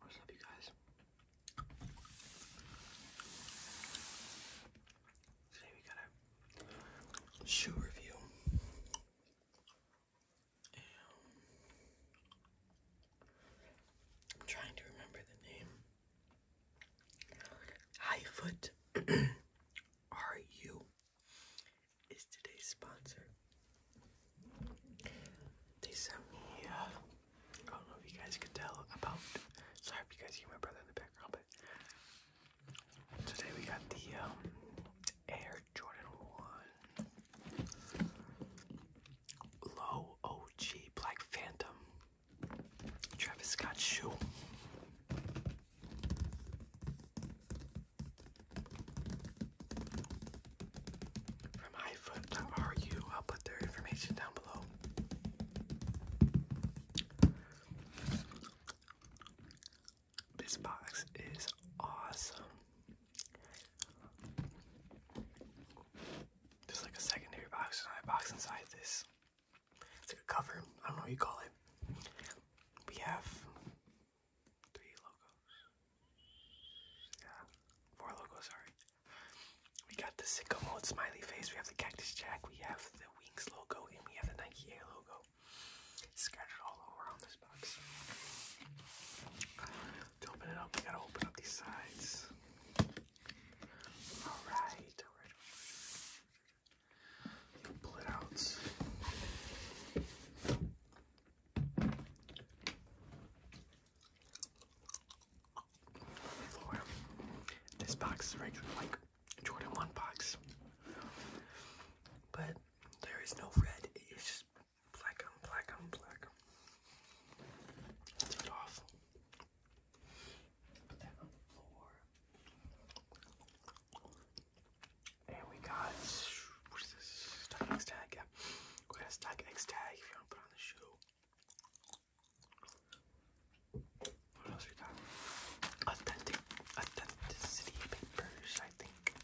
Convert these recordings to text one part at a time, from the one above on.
What's up, you guys? Today we got a shoe review. I'm trying to remember the name. High foot. R U is today's sponsor. They sent me, uh, I don't know if you guys could tell sorry if you guys hear my brother in the background, but today we got the um, Air Jordan 1 Low OG Black Phantom Travis Scott shoe. From iFoot.ru, I'll put their information down below. This box is awesome. There's like a secondary box, another box inside this. It's like a cover. I don't know what you call it. We have three logos. Yeah, four logos, sorry. We got the sicko mode smiley face, we have the cactus jack, we have the wings logo, and we have the Nike Air logo. Scattered all over on this box. open it up, we gotta open up these sides. alright pull it out. This box is regular like Jordan 1 box. But there is no red, it's just black on black on black. Take it off. Put that on the floor. And we got what is X tag, We got a X tag if you want to put on the shoe. What else we got? authenticity papers, I think.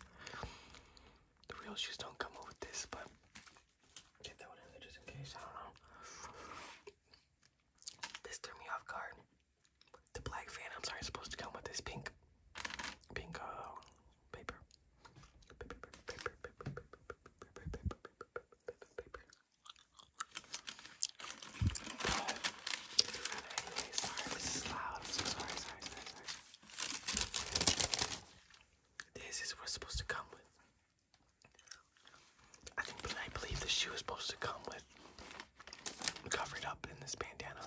The real shoes don't come with this, but get that one in just in case. I don't know. This threw me off guard. The black phantoms aren't supposed to come with this pink, pink uh, paper. Paper, paper, paper, paper, paper, paper, paper, paper, paper. But anyway, sorry, this is loud. I'm so sorry, sorry, sorry, sorry. This is what's supposed to come with. I think I believe the shoe is supposed to come with cover up in this bandana.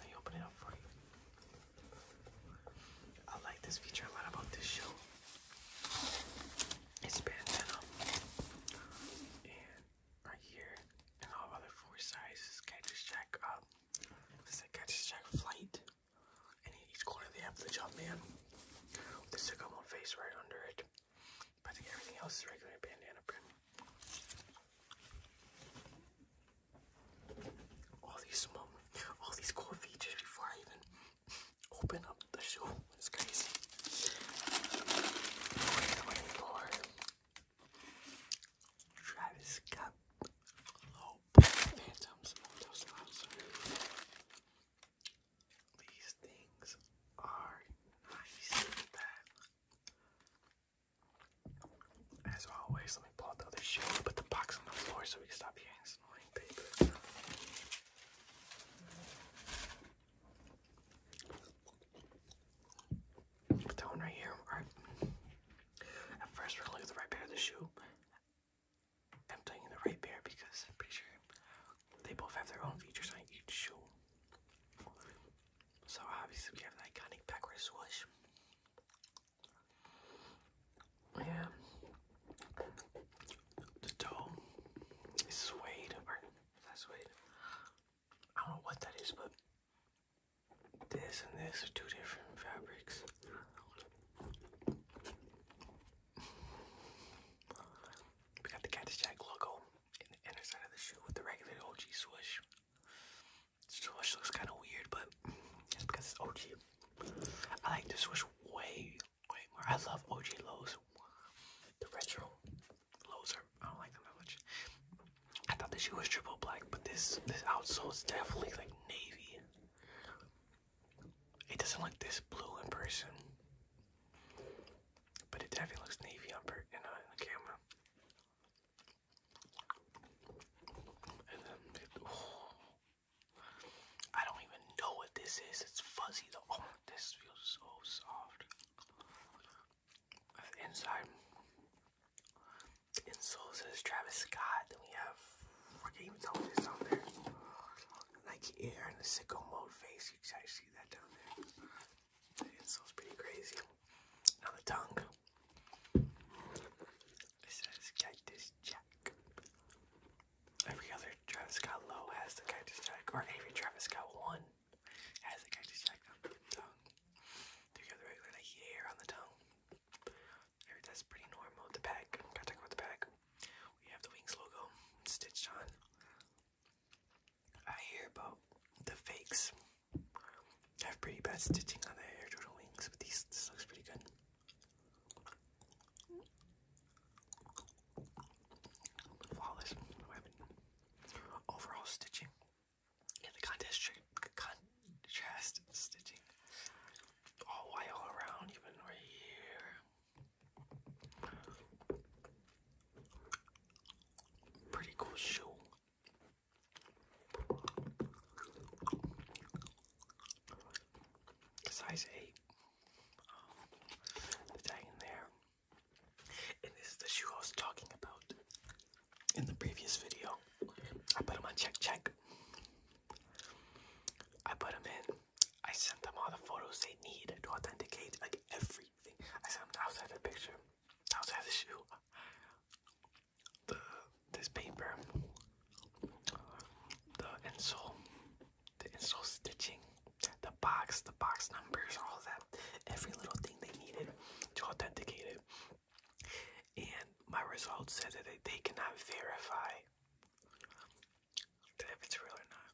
Let open it up for you. I like this feature a lot about this show. It's bandana. And right here, and all other four sizes, Catcher's Jack up. Um, this is Catcher's Jack flight. And in each corner they have the jump man. The sycamore face right under it. But I think everything else is regular bandana print. All these small, all these cool features before I even open up the shoe. It's crazy. Waiting for Travis Scott Low oh, Phantoms. These things are nice. That as always, let me pull out the other shoe put the box on the floor so we can stop hearing this annoying paper. Put that one right here. Alright. At first, we're gonna look at the right pair of the shoe. I'm telling the right pair because I'm pretty sure they both have their own features on each shoe. So obviously we have that iconic pepper swoosh. Yeah. The dough is suede, or suede. I don't know what that is, but this and this are two different fabrics. We got the Cactus Jack logo in the inner side of the shoe with the regular OG swoosh. Swoosh looks kind of weird, but it's because it's OG. I like this swoosh way, way more. I love OG Lows. The retro Lows are, I don't like them that much. I thought the shoe was triple black, but this this outsole is definitely like navy. It doesn't look this blue in person but it definitely looks navy on her uh, in, the camera. And I don't even know what this is. It's fuzzy though. Oh, this feels so soft. Inside, insole says Travis Scott. we have can't even tell what this on there. Like air the sicko mode face. You guys see that down there? So it's pretty crazy. Now the tongue. It says Cactus Jack. Every other Travis Scott Low has the Cactus Jack, or every Travis Scott one has the Cactus Jack on the tongue. Do you regular hair on the tongue? That's pretty normal. The pack. Gotta talk about the pack. We have the Wings logo stitched on. I hear about the fakes have pretty bad stitching on their air turtle wings, but these looks pretty good. Flawless Overall stitching. Yeah, the contest contrast stitching. All white all around, even right here. Pretty cool shoe. Size 8. Um, the tag in there. And this is the shoe I was talking about in the previous video. I put him on check check. I put him in I sent them all the photos they need to authenticate, like everything. I sent them outside the picture, outside the shoe, the this paper, the insole, the insole stitching, the box, the box numbers, all that. Every little thing they needed to authenticate it. And my results said that they, cannot verify if it's real or not.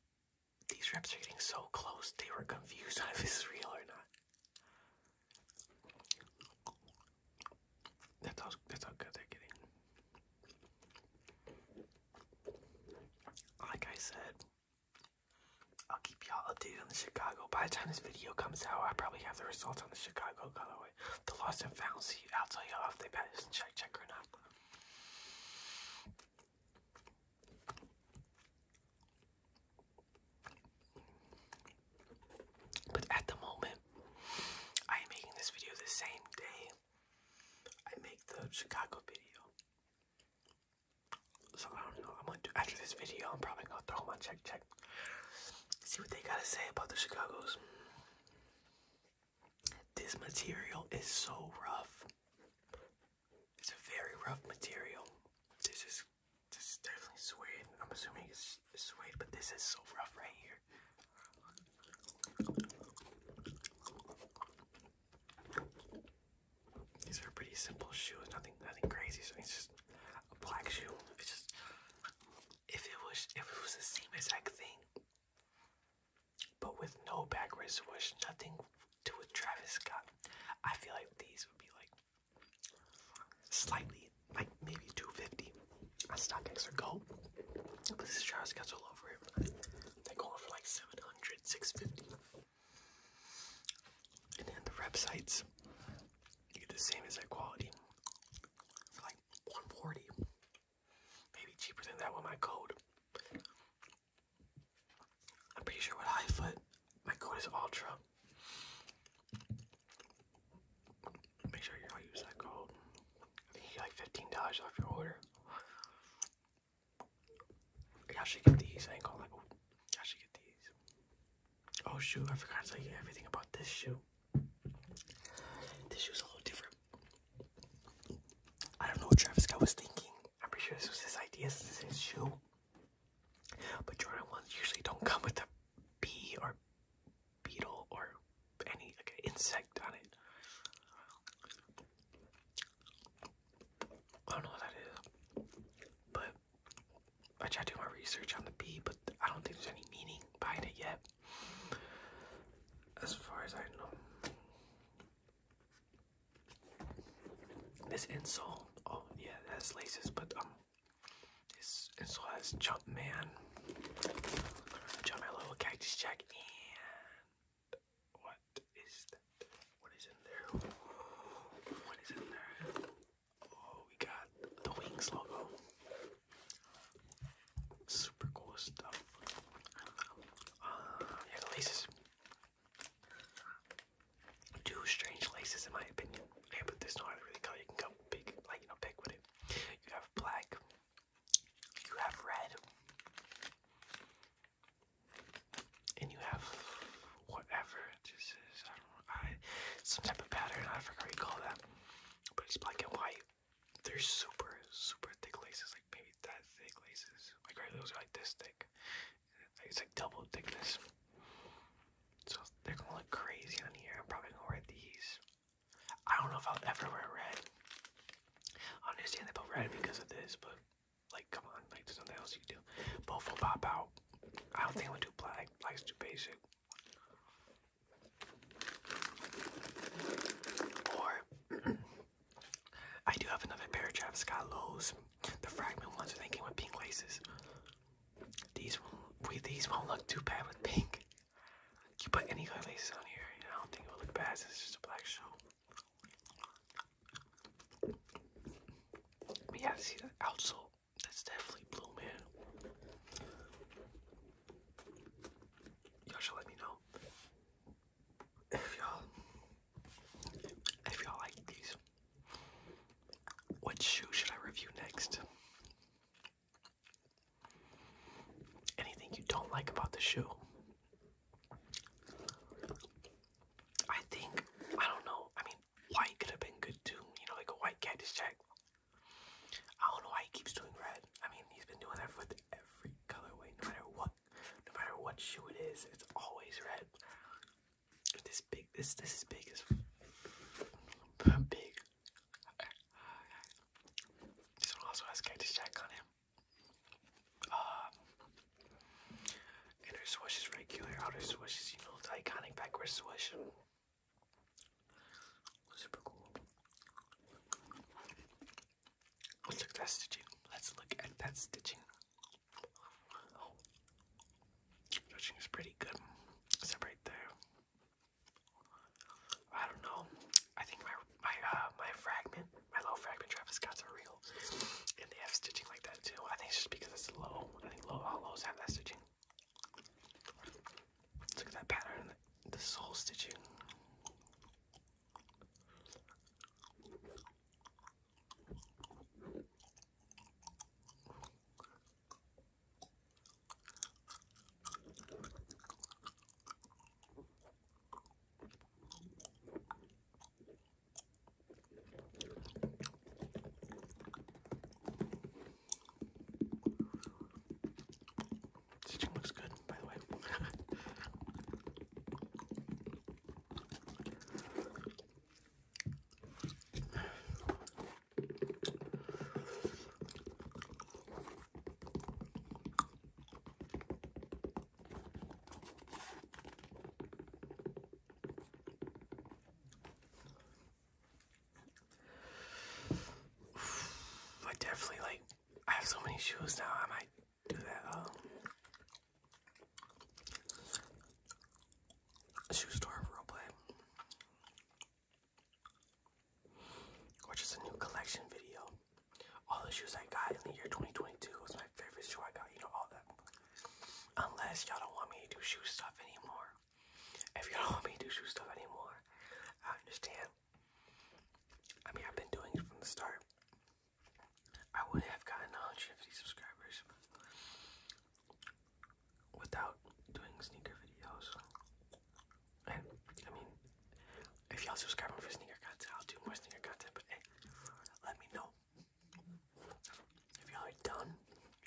These reps are getting so close, they were confused on if this is real or not. That's how, good they're getting. Like I said, I'll keep y'all updated on the Chicago. By the time this video comes out, I probably have the results on the Chicago colorway. The lost and found, see, I'll tell y'all if they bet check check or not. But at the moment, I am making this video the same day I make the Chicago video. So I don't know. I'm gonna do after this video. I'm probably gonna throw them on check check. See what they gotta say about the Chicago's. This material is so rough. It's a very rough material. This is this is definitely suede. I'm assuming it's suede, but this is so rough right here. These are pretty simple shoes, nothing nothing crazy, so it's just a black shoe. It's just if it was if it was the same exact thing, but with no back race nothing to a Travis Scott, I feel like these would be like slightly, like maybe 250 on StockX are gold, But this Travis Scott's all over it. they go going for like 700, 650. And then the websites, you get the same as that quality for like 140, Maybe cheaper than that with my code. I'm pretty sure with Highfoot, my code is Ultra. Make sure you don't use that code. you get like fifteen dollars off your order. Y'all should get these. I ain't going Y'all should get these. Oh shoot! I forgot to tell you everything about this shoe. This shoe's a little different I don't know what Travis Scott was thinking. I'm pretty sure this was his idea. This is his shoe. But Jordan ones usually don't come with a bee or beetle or any like an insect on it. I don't know what that is, but I tried to do my research on the bee, but I don't think there's any meaning behind it yet. As far as I know, this insole. Oh yeah, that's laces, but um, this insole has Jumpman, Jumpman, little cactus and what is that? What is in there? What is in there? Oh, we got the Wings logo. Super cool stuff. Uh, yeah, laces. Two strange laces, in my opinion. Yeah, but there's no other really color you can go big, like you know, big with it. You have black. You have red. And you have whatever this is. I don't know. some type of pattern. I forgot what you call that. But it's black and white. They're super, super thick laces, like maybe that thick laces. Like right, those are like this thick. It's like double thickness. So they're gonna look crazy on here. I'm probably gonna wear these. I don't know if I'll ever wear red. I understand they put red because of this, but like come on, like there's nothing else you can do. Both will pop out. I don't think I'm gonna do black. Black's too basic. Or I do have another pair of Travis Scott lows. The fragment ones, and they came with pink laces. These won't, these won't look too bad with pink. You put any color laces on here, I don't think it will look bad. it's just a black shoe. But yeah, see the outsole. That's definitely blue, man. Y'all should let me know if y'all if y'all like these. What shoe should I review next? Anything you don't like about the shoe? I think I don't know. I mean, white could have been good too. You know, like a white cactus jack. I don't know why he keeps doing red. I mean, he's been doing that with every colorway, no matter what, no matter what shoe it is, it's always red. This big, this this is big as big. This one also has cactus jack on him. Um, uh, inner swoosh is regular, outer swoosh is you know the iconic backward swoosh. Super cool. Let's look at that stitching. Let's look at that stitching. stitching is pretty good. Except right there. I don't know. I think my my uh, my fragment, my low fragment Travis Scott's are real, and they have stitching like that too. I think it's just because it's low. I think low all lows have that stitching. Look at that pattern, the soul stitching. Stitching looks good, by the way. I definitely like. I have so many shoes now. I might do that. Um, shoe store roleplay, or a new collection video. All the shoes I got in the year 2022 was my favorite shoe I got. You know all that. Unless y'all don't want me to do shoe stuff anymore. If you don't want me to do shoe stuff anymore, I understand. I mean, I've been doing it from the start. I would not have gotten 150 subscribers without doing sneaker videos. And, I mean, if y'all subscribe for sneaker content, I'll do more sneaker content, but hey, eh, let me know. If y'all are done,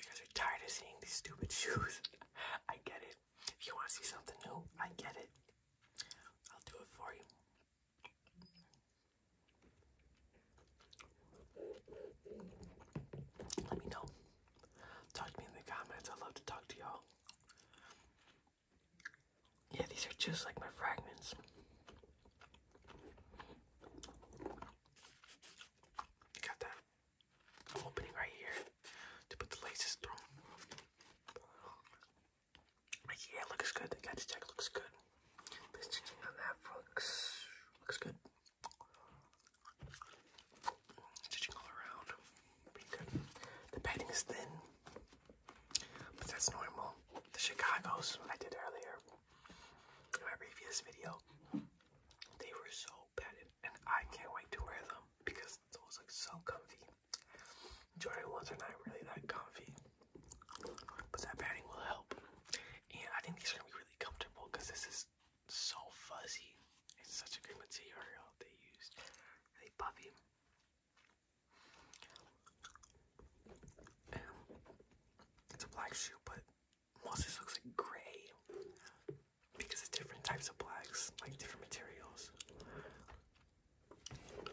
you guys are tired of seeing these stupid shoes, I get it. If you want to see something new, I get it. I'll do it for you. Let me know. Talk to me in the comments. i love to talk to y'all. Yeah, these are just like my fragments. Got that opening right here to put the laces through. yeah, looks good. The catch check looks good. This stitching on that looks, looks good. Stitching all around. The padding is thin, but that's normal. The Chicago's I did earlier in my previous video, they were so padded, and I can't wait to wear them because those look so comfy. Jordan ones are not really that comfy, but that padding will help. And I think these are gonna be really comfortable because this is so fuzzy. It's such a good material they used. Really puffy. it's a black shoe, but this looks like gray because of different types of blacks, like different materials.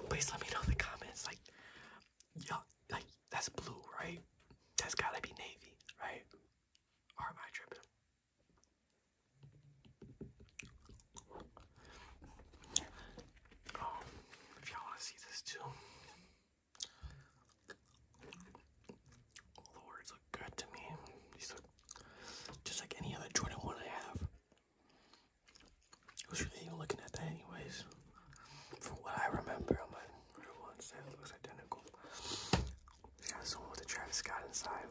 Please let me know in the comments, like, yeah, like that's blue, right? That's gotta be navy, right? am I tripping? Um, if y'all wanna see this too, the words look good to me. These look just like any other Jordan I have. I was really looking at that anyways. From what I remember on my real ones, that looks identical. It's with a Travis Scott inside.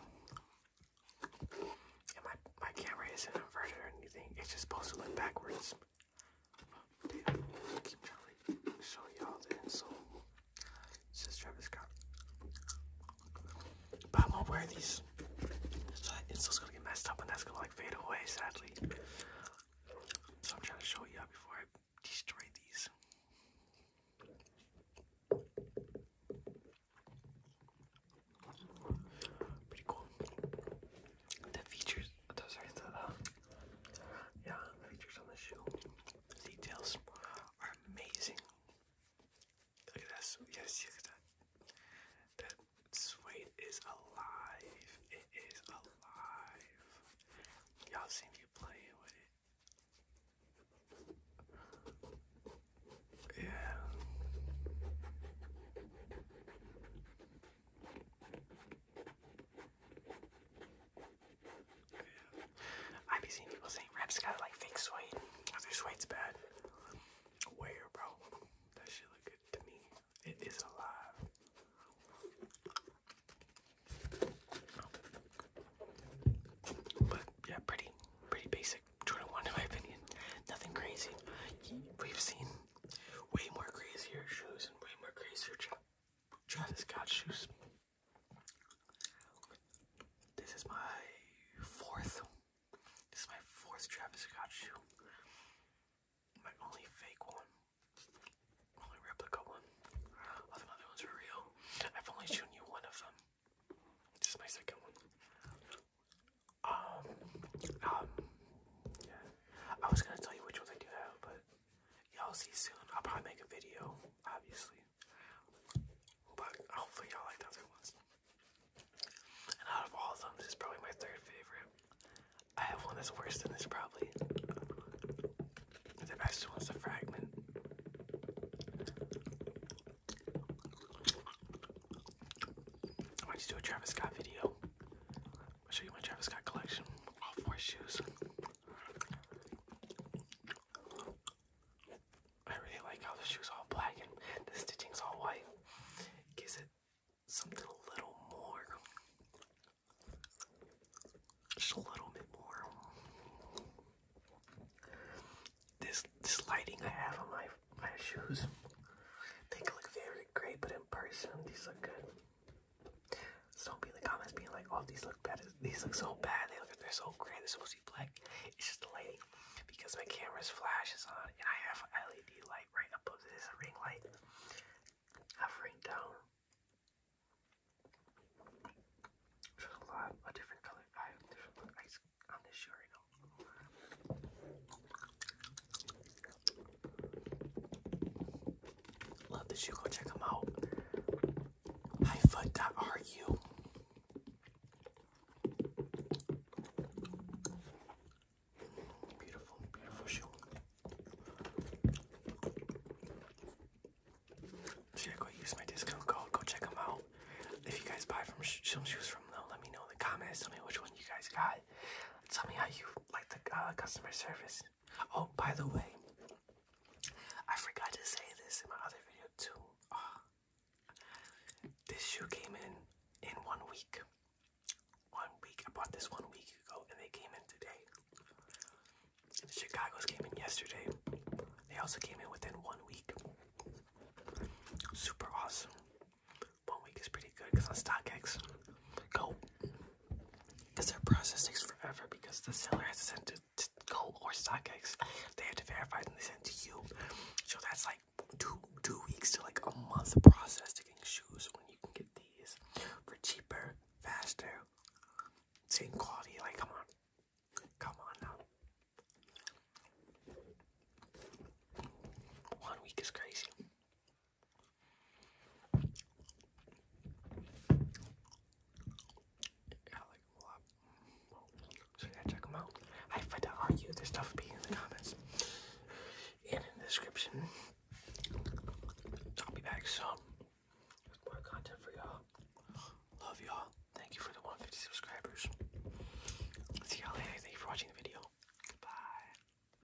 And my, my camera isn't inverted or anything. It's just supposed to look backwards. Dude, keep trying show y'all the insole. This is Travis Scott. But I won't wear these. it's just gonna get messed up and that's gonna like fade away, sadly. So I'm trying to show you before I destroy these. Pretty cool. The features, oh, sorry, yeah, the features on the shoe. The details are amazing. Look at this. Yes, look at that. That suede is alive. It is alive. Y'all seen me playing with it. Yeah. I be seeing people saying reps got like fake suede, cause suede's bad. Where, bro? That shit look good to me. It is alive. But yeah, pretty, pretty basic Jordan One in my opinion. Nothing crazy. We've seen way more crazier shoes and way more crazier. Travis Scott shoes. This is my fourth. This is my fourth Travis Scott shoe. My only fake one. Only replica one. All the other ones are real. I've only shown you one of them. This is my second one. Um, um, yeah. I was gonna tell you which ones I do have, but Y'all see soon. I'll probably make a video, obviously. But hopefully y'all like the other ones. And out of all of them, this is probably my third favorite. I have one that's worse than this probably. The best one's the fragment. I might just do a Travis Scott video. I'll show you my Travis Scott collection. All four shoes. I really like how the shoe's all black and the stitching's all white. gives it something a little more. Just a little bit more. This this lighting I have on my my shoes. They look very great, but in person these look good don't be in the comments being like, "Oh, these look bad. These look so bad. They look, they're so gray. This are be black." It's just the lighting, because my camera's flash is on, and I have an LED light right above this ring light. I've ring down. a different color. I have different lights on this shoe Love the you go check them out. Highfoot.ru. Beautiful, beautiful shoe. go use my discount code? Go check them out. If you guys buy from some shoes from them, let me know in the comments. Tell me which one you guys got. Tell me how you like the uh, customer service. Oh, by the way, I forgot to say this in my other video too. Ah, this shoe came in in one week. One week. I bought this one week ago and they came in today. And the Chicago's came in yesterday. They also came in within one week. Super awesome. One week is pretty good because on StockX, go because their process takes forever because the seller has to send it to Gold or StockX. They have to verify it and they send to you. So that's like two two weeks to like a month process to get shoes when you can get these for cheaper, faster, same quality. Like come on. Come on now. One week is crazy. I like check them out. I find to argue their stuff being in the comments and in the description. I'll be back So more content for y'all. Love y'all. Thank you for the 150 subscribers. See y'all later. Thank you for watching the video. Goodbye.